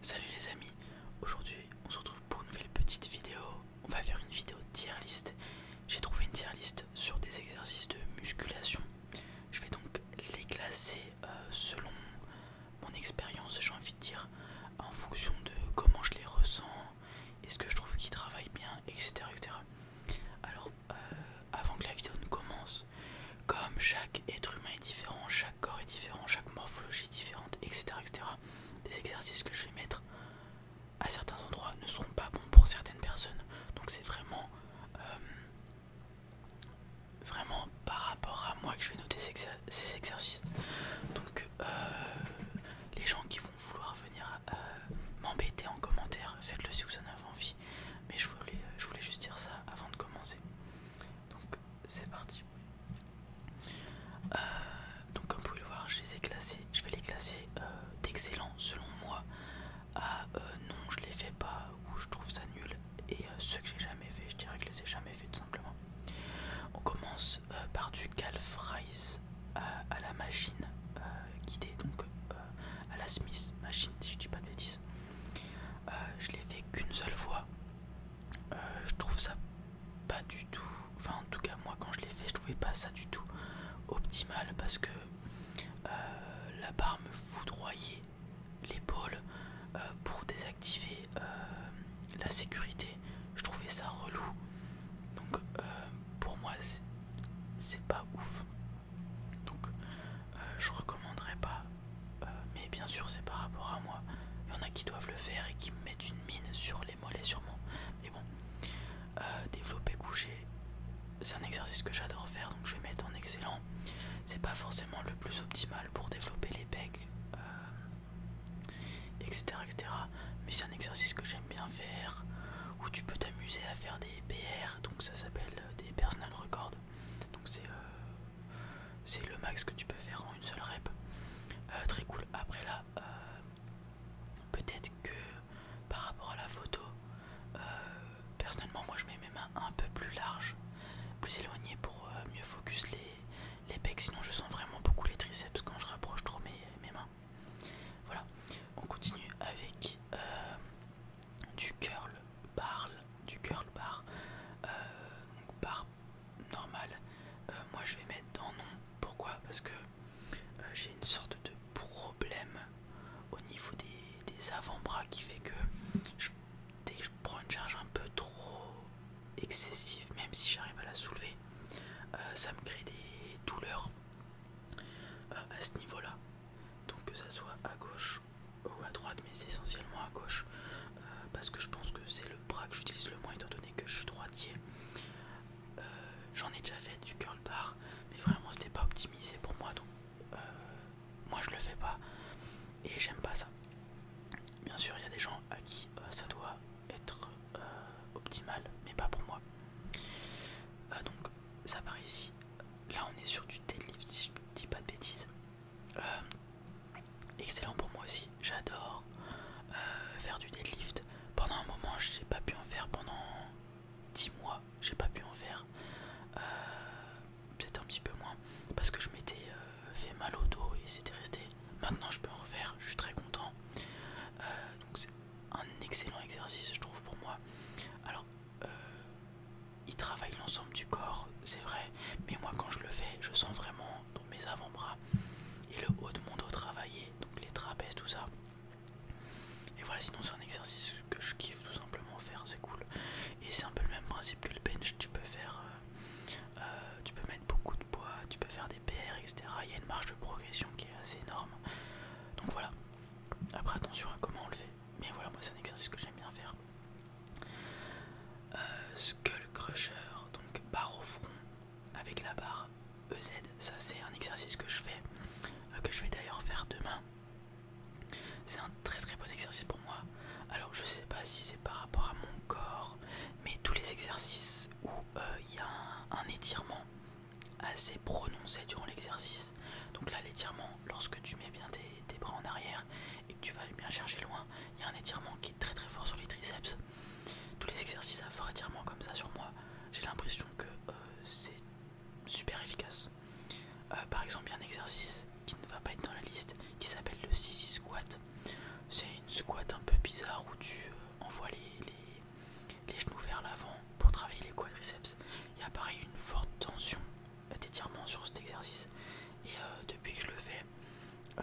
Salut les amis, aujourd'hui on se retrouve pour une nouvelle petite vidéo. On va faire une vidéo tier list. J'ai trouvé une tier list sur des exercices de musculation. Je vais donc les classer euh, selon mon expérience, j'ai envie de dire, en fonction de comment je les ressens, est-ce que je trouve qu'ils travaillent bien, etc. etc. Alors, euh, avant que la vidéo ne commence, comme chaque être humain est différent, chaque corps est différent, chaque morphologie est différente, etc. etc. Des exercices que je vais mettre à certains endroits ne seront pas bons pour certaines personnes. Donc c'est vraiment, euh, vraiment par rapport à moi que je vais noter ces, exercices. Donc euh, les gens qui vont vouloir venir euh, m'embêter en commentaire, faites-le si vous en avez envie. Mais je voulais juste dire ça avant de commencer. Donc c'est parti. Euh, donc comme vous pouvez le voir, je les ai classés. Je vais les classer euh, d'excellents selon moi à ah, euh, non je les fais pas ou je trouve ça nul. Et ceux que j'ai jamais fait, je dirais que je les ai jamais fait tout simplement. On commence par du Calf Rice à la machine guidée, donc à la Smith machine si je dis pas de bêtises. Euh, je l'ai fait qu'une seule fois. Euh, je trouve ça pas du tout. Enfin, en tout cas, moi quand je l'ai fait, je trouvais pas ça du tout optimal parce que euh, la barre me foudroyait l'épaule pour désactiver la sécurité. Je trouvais ça relou. Donc, pour moi, c'est pas ouf. Donc je euh, je recommanderais pas, euh, mais bien sûr c'est par rapport à moi. Il y en a qui doivent le faire et qui mettent une mine sur les mollets sûrement. Mais bon, euh, développer coucher c'est un exercice que j'adore faire, donc je vais mettre en excellent. C'est pas forcément le plus optimal pour développer les pecs, etc., etc. Mais c'est un exercice que j'aime bien faire, où tu peux t'amuser à faire des PR, donc ça s'appelle des personal records. Donc euh, c'est le max que tu peux faire en une seule rep. Euh, très cool. Après là, euh, peut-être que par rapport à la photo, personnellement moi je mets mes mains un peu plus larges, plus éloignées pour mieux focus les, les pecs. Sinon je sens vraiment beaucoup les triceps quand je rapproche trop mes, mains. Voilà, on continue avec du curl parle du curl bar, euh, donc bar normal euh, moi je vais mettre dans non. Pourquoi Parce que euh, j'ai une sorte de problème au niveau des, avant-bras qui fait que dès que je prends une charge un peu trop excessive, même si j'arrive à la soulever, ça me crée des douleurs à ce niveau-là donc que ça soit à gauche ou à droite mais essentiellement à gauche euh, parce que je pense que c'est le bras que j'utilise le moins étant donné que je suis droitier euh, j'en ai déjà fait du curl bar mais vraiment c'était pas optimisé pour moi donc euh, moi je le fais pas et j'aime pas ça bien sûr il y a des gens à qui ça doit être optimal mais pas pour moi donc ça part ici. Là, on est sur du deadlift, si je dis pas de bêtises. Euh, excellent pour moi aussi, j'adore euh, faire du deadlift. Pendant un moment, j'ai pas pu en faire pendant 10 mois, j'ai pas pu en faire. Euh, peut-être un petit peu moins parce que je m'étais fait mal au dos et c'était resté. Maintenant, je peux en refaire, je suis très content. donc, c'est un excellent exercice, je trouve, pour moi. Alors, euh, il travaille l'ensemble du corps, c'est vrai, mais moi quand je le fais, je sens vraiment dans mes avant-bras et le haut de mon dos travailler, donc les trapèzes, tout ça. Et voilà, sinon c'est un exercice que je kiffe tout simplement faire, c'est cool. Et c'est un peu le même principe que le bench, tu peux faire, euh, euh, tu peux mettre beaucoup de poids, tu peux faire des PR, etc. Il y a une marge de progression qui est assez énorme. Donc voilà, après attention à comment on le fait, mais voilà moi c'est un exercice que j'aime bien faire. Euh, skull Crusher, donc barre au front avec la barre EZ, ça c'est un exercice que je fais, euh, que je vais d'ailleurs faire demain. C'est un très très bon exercice pour moi. Alors je sais pas si c'est par rapport à mon corps, mais tous les exercices où euh, il y a un étirement assez prononcé durant l'exercice. Donc là, l'étirement, lorsque tu mets bien tes, bras en arrière et que tu vas bien chercher loin, il y a un étirement qui est très très fort sur les triceps. Tous les exercices à fort étirement comme ça sur moi, j'ai l'impression que euh, c'est super efficace. Euh, par exemple, il y a un exercice qui ne va pas être dans la liste qui s'appelle le Sisi squat. C'est une squat un peu bizarre où tu euh, envoies les, les genoux vers l'avant pour travailler les quadriceps. Il y a pareil une forte tension d'étirement sur cet exercice. Et euh, depuis que je le fais, euh,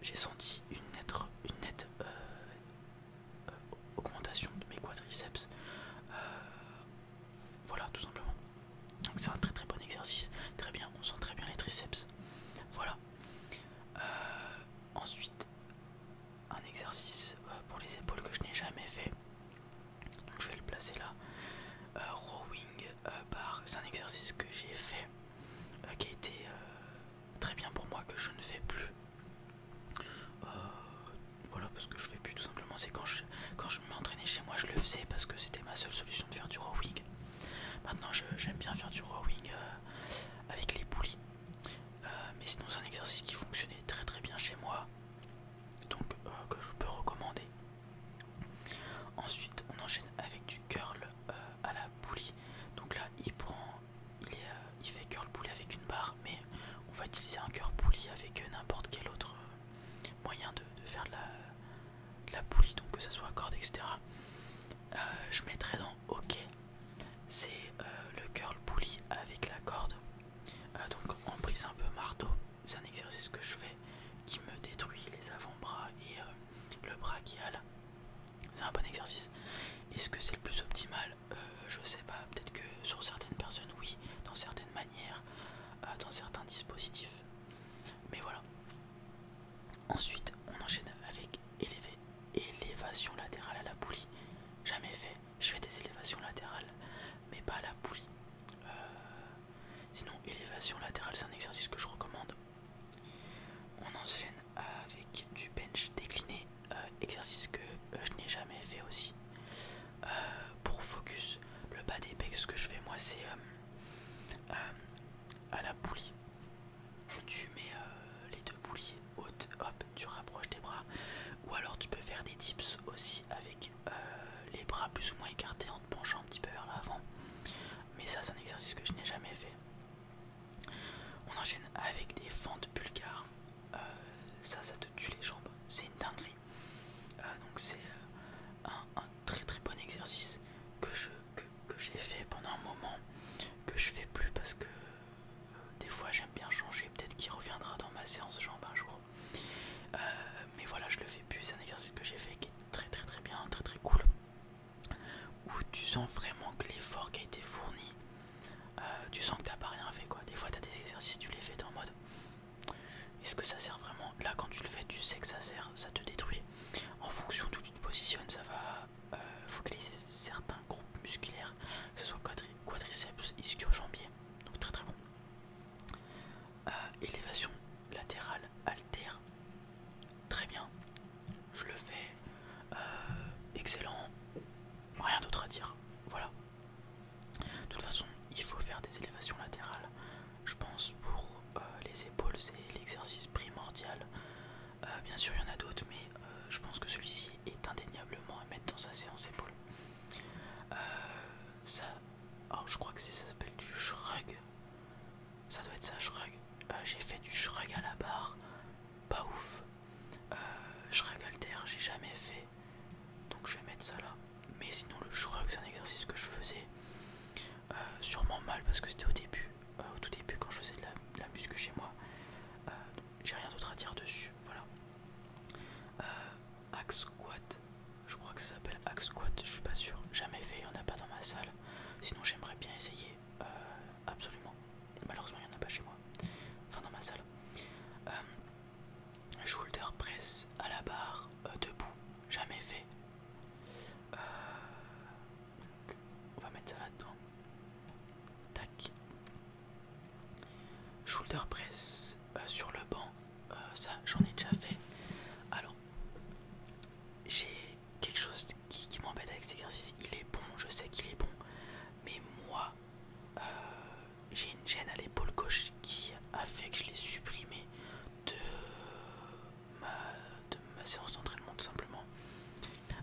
j'ai senti une nette, euh, augmentation de mes quadriceps. voilà, tout simplement. Donc c'est un très très bon exercice. Très bien, on sent très bien les triceps. Voilà. ensuite, un exercice euh, pour les épaules que je n'ai jamais fait. Donc je vais le placer là. Euh, rowing euh, c'est un exercice que j'ai fait, qui a été très bien pour moi, que je ne fais plus. voilà, parce que je fais plus tout simplement. C'est quand je, quand je m'entraînais chez moi, je le faisais parce que c'était ma seule solution de faire du rowing. Maintenant, j'aime bien faire du rowing avec les poulies. Euh, mais sinon c'est un exercice qui fonctionnait très très bien chez moi, donc euh, que je peux recommander. Ensuite on enchaîne avec du curl euh, à la poulie. Donc là il prend, il, fait curl poulie avec une barre, mais on va utiliser un curl poulie avec n'importe quel autre moyen de, faire de la, poulie, donc que ce soit corde, etc. je mettrai dans ok c'est euh, le curl pulley avec la corde euh, donc en prise un peu marteau c'est un exercice que je fais qui me détruit les avant-bras et euh, le brachial c'est un bon exercice est-ce que c'est le plus optimal je sais pas peut-être que sur certaines personnes oui dans certaines manières dans certains dispositifs mais voilà ensuite on enchaîne avec élevé élévation latérale à la poulie. Jamais fait. Je fais des élévations latérales, mais pas à la poulie. Euh, sinon, élévation latérale, c'est un exercice que je recommande. On enchaîne avec du bench décliné, euh, exercice que euh, je n'ai jamais fait aussi. pour focus, le bas des pecs, ce que je fais moi, c'est à la poulie. Tu mets euh, les deux poulies hautes, hop, tu rapproches tes bras. Ou alors tu peux faire des dips aussi avec euh, les bras plus ou moins écartés en te penchant un petit peu vers l'avant. Mais ça, c'est un exercice que je n'ai jamais fait. On enchaîne avec des fentes bulgares. Euh, ça, ça te tue les jambes. C'est une dinguerie. donc c'est un, très très bon exercice que je, que j'ai fait pendant un moment que je fais plus parce que euh, des fois j'aime bien changer peut-être qu'il reviendra dans ma séance jambes un jour euh, mais voilà je le fais plus c'est un exercice que j'ai fait qui est très très très bien très très cool où tu sens vraiment que l'effort qui a été fourni euh, tu sens que t'as pas rien fait quoi des fois t'as des exercices tu les fais dans en mode est-ce que ça sert vraiment là quand tu le fais tu sais que ça sert ça te détruit en fonction d'où tu te positionnes ça va euh, focaliser certains groupes musculaires, que ce soit quadriceps, ischio-jambier, donc très très bon. Euh, élévation latérale altère, très bien, je le fais, euh, excellent, rien d'autre à dire, voilà. De toute façon, il faut faire des élévations latérales, je pense, pour les épaules, c'est l'exercice primordial euh, bien sûr, il y en a d'autres, mais euh, je pense que celui-ci est indéniablement à mettre dans sa séance épaule. Euh, ça. Oh, je crois que ça s'appelle du shrug. Ça doit être ça, shrug. j'ai fait du shrug à la barre. Pas ouf. à shrug alter, j'ai jamais fait. Donc je vais mettre ça là. Mais sinon, le shrug, c'est un exercice que je faisais. Euh, sûrement mal parce que c'était au début, euh, au tout début quand je faisais de la, muscu chez moi. Euh, j'ai rien d'autre à dire dessus. Voilà. axe squat, je crois que ça s'appelle axe squat, je suis pas sûr. Jamais fait, il n'y en a pas dans ma salle. Sinon j'aimerais bien essayer, absolument. Malheureusement il n'y en a pas chez moi. Enfin dans ma salle. shoulder press à la barre debout, jamais fait on va mettre ça là-dedans. Tac. Shoulder press euh, sur le banc. Euh, ça, j'en ai déjà fait. Alors, j'ai quelque chose qui, m'embête avec cet exercice. Il est bon, je sais qu'il est bon. Mais moi, euh, j'ai une gêne à l'épaule gauche qui a fait que je l'ai supprimé de de ma séance d'entraînement tout simplement.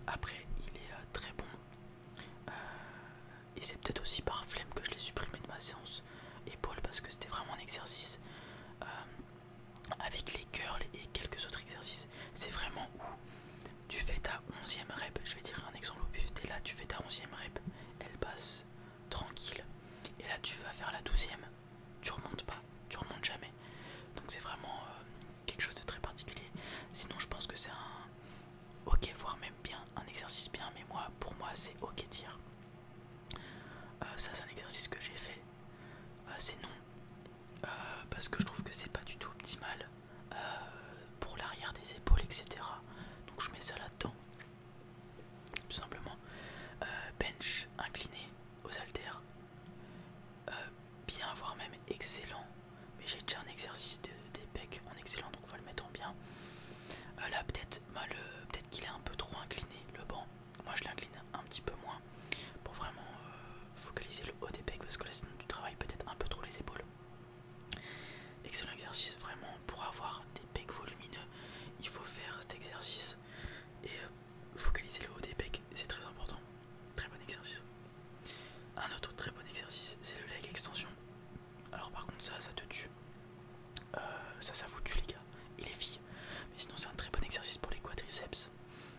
Après il est euh, très bon euh, et c'est peut-être aussi par flemme que je l'ai supprimé de ma séance épaule parce que c'était vraiment un exercice euh, avec les curls et quelques autres exercices. C'est vraiment où tu fais ta 11ème rep, je vais dire un exemple au pif, là, tu fais ta 11ème rep, elle passe tranquille et là tu vas faire la 12 tu remontes pas, tu remontes jamais. Donc c'est vraiment euh, quelque chose de très particulier. Sinon je pense que c'est un ok, voire même bien, un exercice bien, mais moi pour moi c'est ok dire euh, ça c'est un exercice que j'ai fait. Euh, c'est non. parce que je trouve que c'est pas du tout optimal pour l'arrière des épaules, etc. Donc je mets ça là-dedans. Tout simplement. bench incliné, aux haltères. Euh, bien, voire même excellent. Mais j'ai déjà un exercice de, des en excellent, donc on va le mettre en bien. Euh, là, peut-être peut qu'il est un peu trop incliné le banc. Moi, je l'incline un petit peu moins pour vraiment euh, focaliser le haut des pecs parce que là, sinon, tu travailles peut-être un peu trop les épaules. Excellent exercice, vraiment. Pour avoir des pecs volumineux, il faut faire cet exercice et euh, focaliser le haut des pecs, c'est très important. Très bon exercice. Un autre très bon exercice, c'est le leg extension. Alors par contre ça, ça te tue. Euh, ça, ça vous tue les gars et les filles. Mais sinon c'est un très bon exercice pour les quadriceps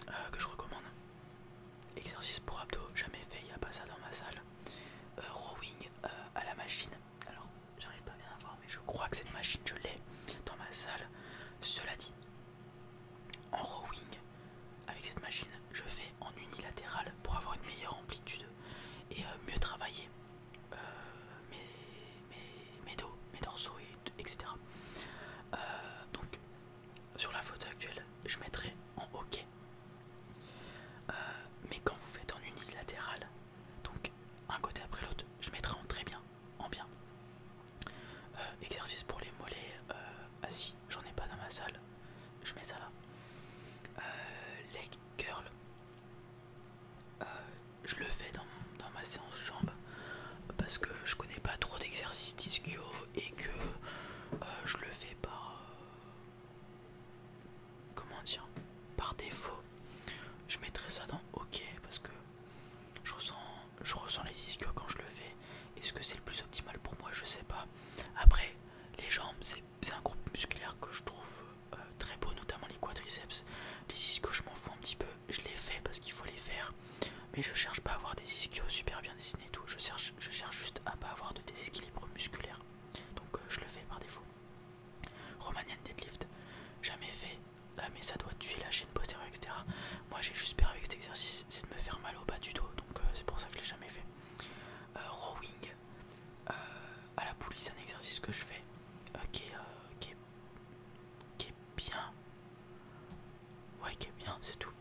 euh, que je recommande. Exercice pour abdos, jamais fait, il n'y a pas ça dans ma salle. rowing à la machine, alors j'arrive pas bien à voir mais je crois que cette machine je l'ai dans ma salle cela dit en rowing avec cette machine je fais en unilatéral pour avoir une meilleure amplitude et euh, mieux travailler euh, mes, dos mes dorsaux etc euh, donc sur la photo actuelle je mettrai en ok. mais quand vous faites en unilatéral donc un côté après l'autre, je mettrai en très bien, en bien. Euh, exercice pour les mollets euh, assis, j'en ai pas dans ma salle, je mets ça là. Euh, leg curl, je le fais dans, ma séance jambes parce que je connais pas trop d'exercices d'ischio et que je le fais par, comment dire par défaut je mettrai ça dans ok parce que je ressens je ressens les ischios quand je le fais est-ce que c'est le plus optimal pour moi je sais pas après les jambes c'est un groupe musculaire que je trouve euh, très beau notamment les quadriceps les ischios je m'en fous un petit peu je les fais parce qu'il faut les faire mais je cherche pas à avoir des ischios super bien dessinés tout je cherche je cherche juste à pas avoir de déséquilibre musculaire donc euh, je le fais par défaut Romanian deadlift, jamais fait, ah, mais ça doit tuer la chaîne postérieure, etc. Moi j'ai juste peur avec cet exercice, c'est de me faire mal au bas du dos, donc euh, c'est pour ça que je l'ai jamais fait. Euh, rowing euh, à la poulie, c'est un exercice que je fais qui, est, bien. Ouais, qui est bien, c'est tout.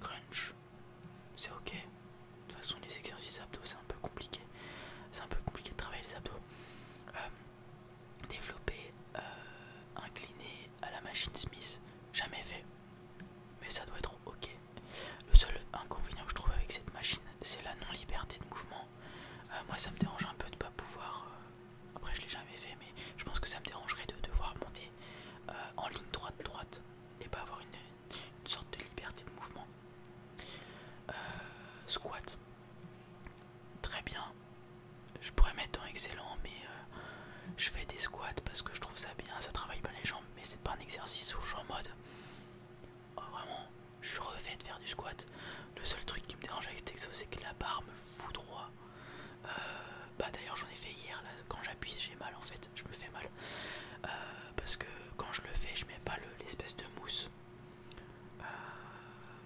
crunch, c'est ok de toute façon les exercices abdos c'est un peu compliqué c'est un peu compliqué de travailler les abdos euh, développer euh, incliné à la machine Smith jamais fait mais ça doit être ok le seul inconvénient que je trouve avec cette machine c'est la non liberté de mouvement euh, moi ça me dérange un peu de pas pouvoir après je l'ai jamais fait mais je pense que ça me dérangerait de devoir monter en ligne droite droite et pas avoir une, une sorte de liberté de mouvement. Euh, squat, très bien. Je pourrais mettre un excellent, mais euh, je fais des squats parce que je trouve ça bien, ça travaille bien les jambes, mais c'est pas un exercice où je suis en mode. Oh, vraiment, je suis refait de faire du squat. Le seul truc qui me dérange avec Texo, c'est que la barre me fout droit. Euh, bah d'ailleurs j'en ai fait hier là quand j'appuie j'ai mal en fait je me fais mal euh, parce que quand je le fais, je mets pas l'espèce de mousse. Euh,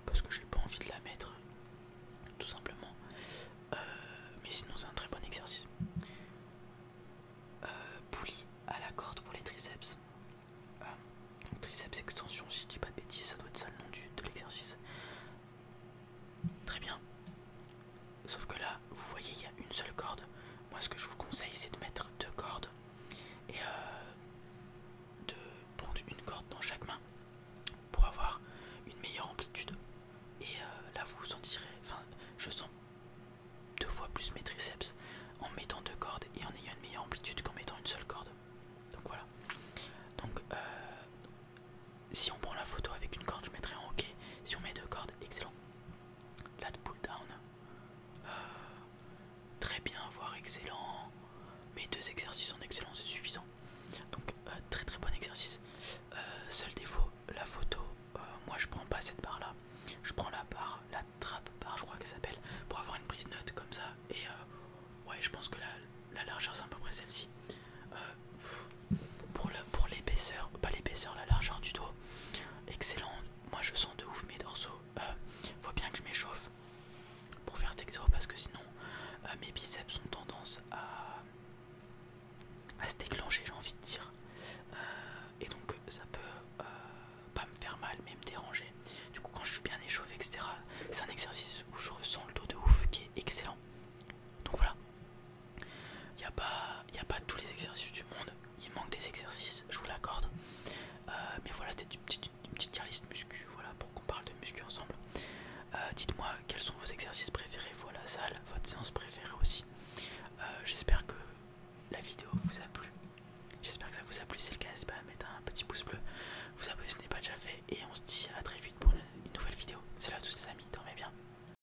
parce que j'ai pas envie de la mettre, tout simplement. Euh, mais sinon, c'est un très bon exercice. Pouli à la corde pour les triceps. triceps extension, si je dis pas de bêtises, ça doit être ça le nom du, de l'exercice. Très bien. Sauf que là, vous voyez, il y a une seule corde. Moi, ce que je vous conseille, c'est de mettre deux cordes et euh, de prendre une corde dans chaque main pour avoir une meilleure amplitude. Et euh, là, vous sentirez. Enfin, je sens deux fois plus mes triceps en mettant deux cordes et en ayant une meilleure amplitude qu'en mettant une seule corde. Donc voilà. Donc, euh, si on prend la photo avec une corde, je mettrai en OK. Si on met deux cordes, excellent. Là, de pull down. Ah, très bien, voire excellent. Mes deux exercices en excellent, c'est suffisant. Donc euh, très très bon exercice. Euh, seul défaut, la photo. Euh, moi je prends pas cette barre là. Je prends la barre, la trappe barre je crois qu'elle s'appelle, pour avoir une prise note comme ça. Et ouais je pense que la, largeur c'est à peu près celle-ci. pour l'épaisseur, pas l'épaisseur, la largeur du dos, Excellent, moi je sens de ouf mes dorsaux. Euh, faut bien que je m'échauffe pour faire cet exo parce que sinon euh, mes biceps ont tendance à, se déclencher, j'ai envie de dire. Euh, et donc ça peut pas me faire mal mais me déranger. Du coup, quand je suis bien échauffé, etc., c'est un exercice où je ressens le dos de ouf qui est excellent. Donc voilà, il n'y a, pas, a pas tous les exercices du monde. Il manque des exercices, je vous l'accorde. Euh, mais voilà, c'était une petite, tier muscu, voilà, pour qu'on parle de muscu ensemble. Euh, dites-moi quels sont vos exercices préférés, vous à la salle, votre séance préférée aussi. Euh, j'espère que la vidéo vous a plu. J'espère que ça vous a plu. Si c'est le cas, n'hésitez pas à mettre un petit pouce bleu, vous abonner si ce n'est pas déjà fait. Et on se dit à très vite pour une nouvelle vidéo. Salut à tous les amis, dormez bien.